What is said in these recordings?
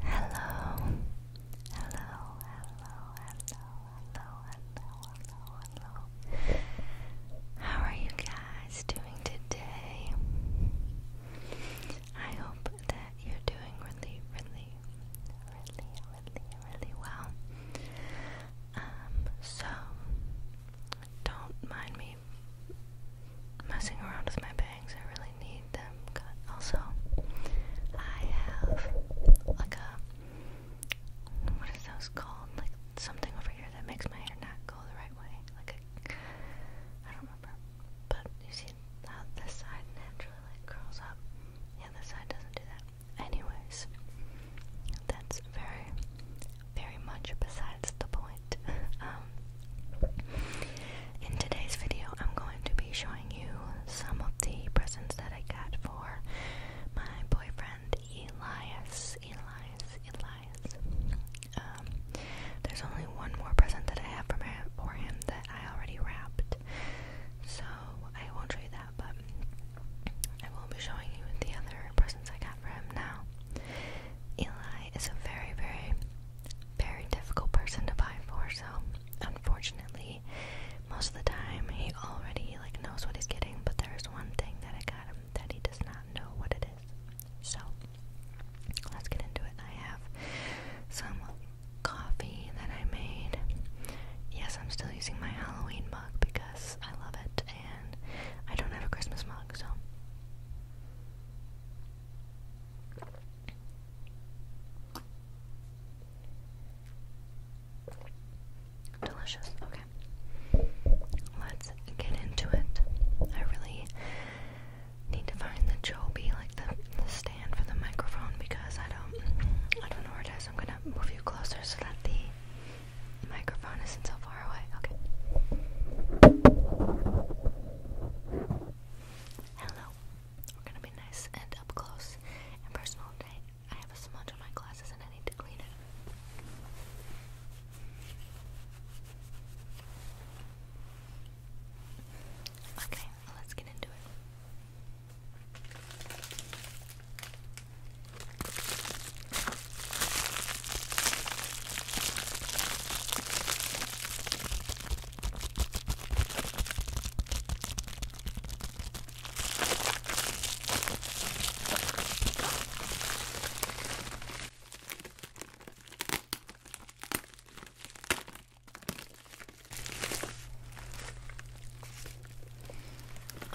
Hello, hello, hello, hello, hello, hello, hello, hello. How are you guys doing today? I hope that you're doing really, really, really, really, really well. Um, so don't mind me messing around with my bangs. I really need them cut. Also, I have like a what is those called? Like something over here that makes my hair not go the right way. Like a I don't remember. But you see how this side naturally like curls up. Yeah, this side doesn't do that. Anyways, that's very, very much besides the point. Um, in today's video, I'm going to be showing you some of the presents that I got for my boyfriend Elias. Elias, Elias. Um, there's only one more present that I have for him that I already wrapped, so I won't show you that, but I will be showing you the other presents I got for him now. Eli is a very, very very difficult person to buy for, so unfortunately, most of the time he already like knows what he's getting, but there's one thing that I got him that he does not know what it is. So let's get into it. I have some coffee that I made. Yes, I'm still using my Halloween mug because I love it and I don't have a Christmas mug, so Delicious. Okay. Let's get into it. I really need to find the Joby, like the, stand for the microphone because I don't I don't know where it is. I'm gonna move you closer so that the microphone isn't so far away. Okay. Hello. We're gonna be nice and up close and personal today. I have a smudge on my glasses and I need to clean it. Okay, let's get into it.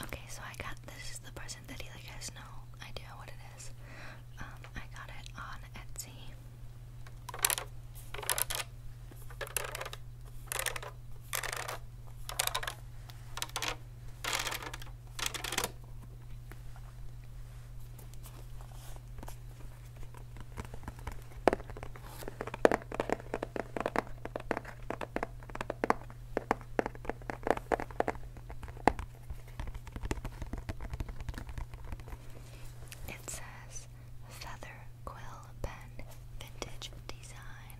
Okay, so I got this is the present that he like has no know what it is. Um, I got it on Etsy. It says Feather Quill Pen Vintage Design.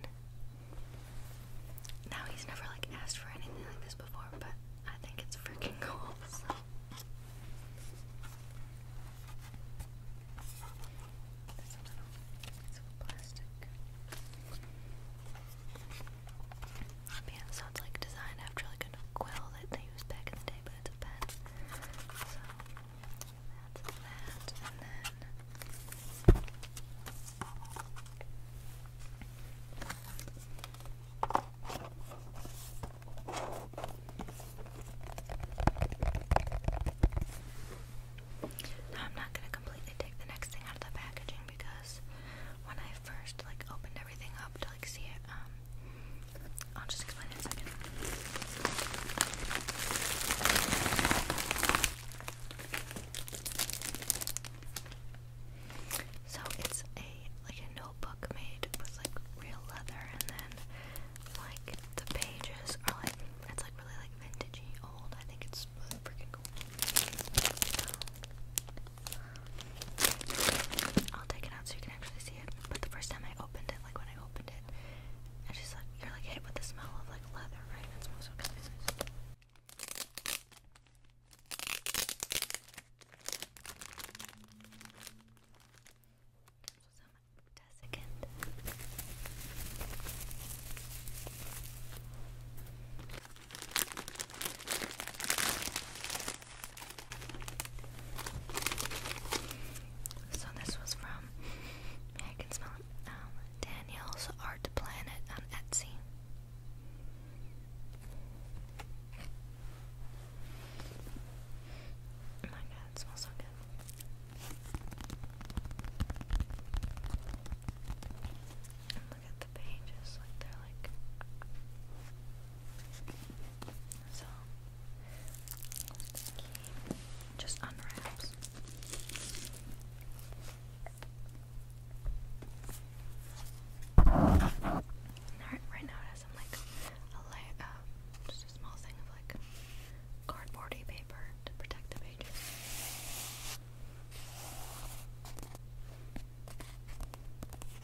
Now he's never like asked for anything like this before, but I think it's freaking cool. Yeah, so like designed after like a quill that they used back in the day, but I'm not gonna completely take the next thing out of the packaging because when I first like opened everything up um, I'll just explain in a second. So it's a like a notebook made with like real leather, and then like the pages are like it's like really like vintagey old. I think it's freaking cool. I'll take it out so you actually see it. But the first time I opened it, like when I opened it, I just like you're like hit with the smell of like leather, right? It smells so so this was from I can smell it. Um, Art Planet on um, Etsy. Oh my god, it smells so good. look at the pages, they're like so just unwraps. Right, now it has some like a lay uh, just a small thing of like cardboardy paper to protect the pages.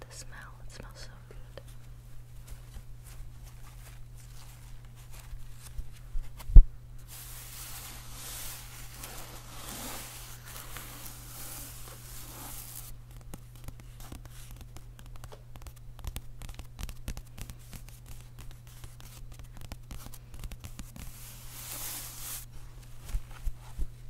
The smell, it smells so good.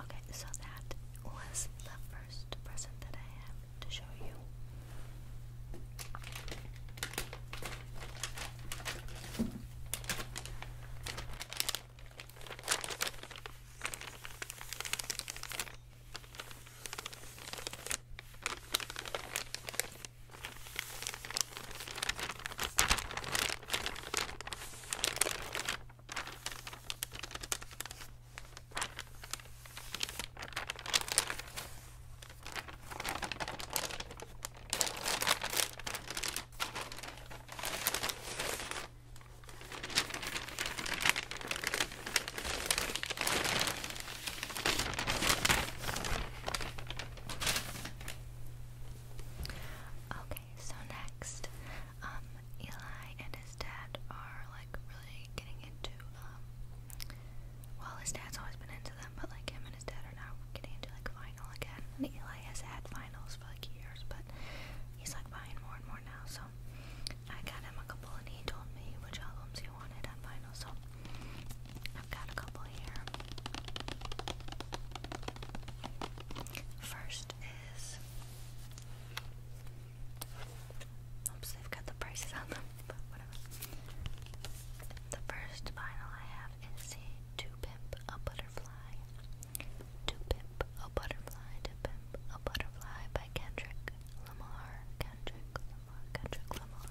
Okay, so that was the first present that I have to show you. Okay, so next um, Eli and his dad are like really getting into um well his dad's always been into them but like him and his dad are now getting into like vinyl again. And Eli has had vinyls for like years but he's like buying more and more now so I got him a couple and he told me which albums he wanted on vinyl so I've got a couple here. First is Oops, they've got the prices on them, but whatever. The first vinyl I have is To Pimp a Butterfly. To Pimp a Butterfly, To Pimp a Butterfly by Kendrick Lamar. Kendrick Lamar, Kendrick Lamar.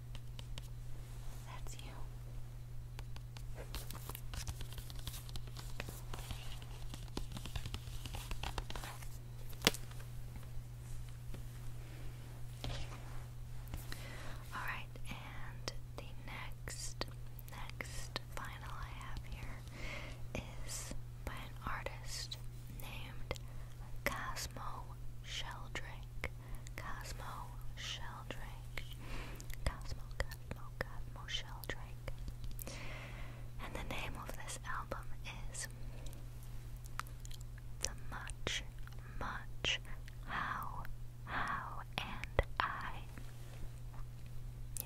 That's you. All right, and the next, next vinyl I have here is by an artist named Cosmo Sheldrake. Cosmo Sheldrake. Cosmo, Cosmo, Cosmo Sheldrake. And the name of this album is The Much, Much, How, How, and I. Yeah.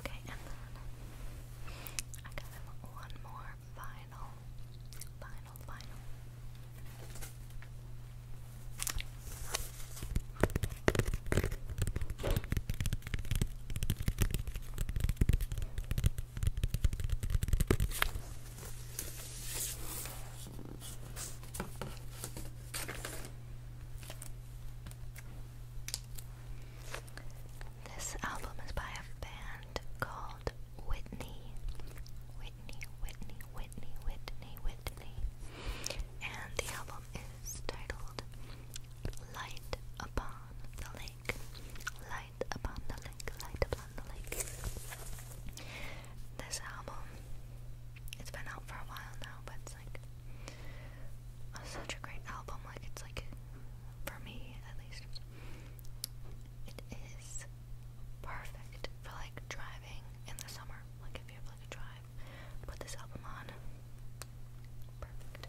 Okay, and then I got one more vinyl. Vinyl, vinyl. This album is by a band called Whitney. Whitney, Whitney, Whitney, Whitney, Whitney. And the album is titled Light Upon the Lake. Light Upon the Lake, Light Upon the Lake. This album, it's been out for a while now, but it's like such a great album. Like it's like for me at least, it is perfect for like driving in the summer. Like if you have like a drive, put this album on. Perfect.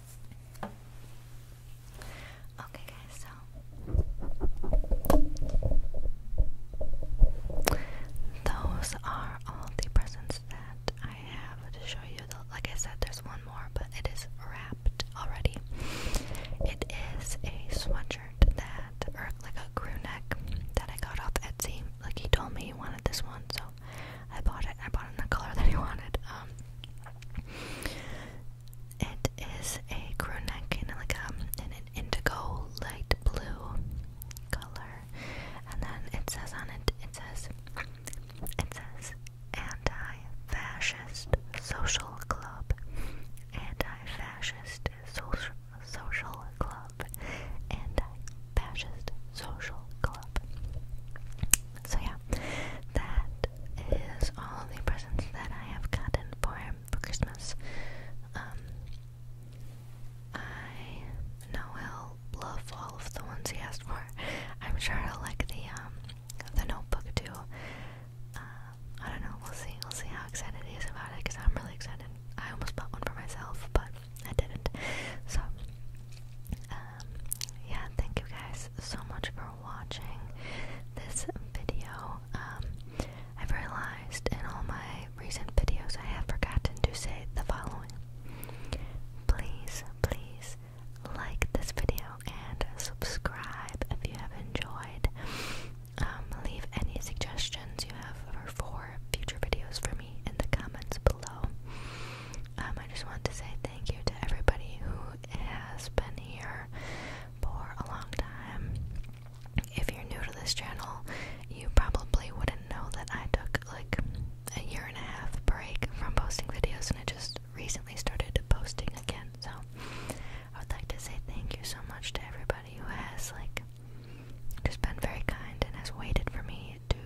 Okay, guys, so those are all the presents that I have to show you. The, like I said, there's one more, but it is wrapped already. It is a sweatshirt that, or like a crew neck that I got off Etsy. Like he told me he wanted this one, so I bought it. I bought in the color that he wanted. Um, it is a crew neck um, in like an indigo light blue color, and then it says on it it says it says anti-fascist social club, anti-fascist social social club, anti-fascist social club. So yeah, that is all the presents that I have gotten for for Christmas. Um, I know he'll love all of the ones he asked for. I'm sure he'll like the um, the Notebook too. Uh, I don't know. We'll see. We'll see how excited he is about it because I'm really excited. I almost bought one for myself, but I didn't. So, uh, um, yeah, thank you guys so much for watching this video. Um, I've realized in all my recent videos I have forgotten to say the following. Please, please like this video and subscribe if you have enjoyed. Um, leave any suggestions you have for future videos for me in the comments below. Um, I just want to say thank you to everybody who has been here for a long time. If you're new to this channel, you probably wouldn't know that I took like a year and a half break from posting videos and I just recently started posting again. So I would like to say thank you so much to everybody who has like just been very kind and has waited for me to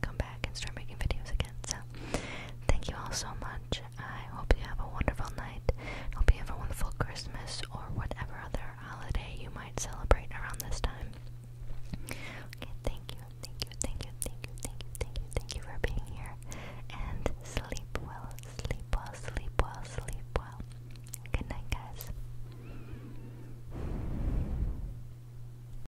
come back and start making videos again. So, thank you all so much. I hope you have a wonderful night. Hope you have a wonderful Christmas or whatever other holiday you might celebrate around this time. thank you, thank you, thank you, thank you, thank you, thank you, thank you for being here. And sleep well, sleep well, sleep well, sleep well. Good night, guys.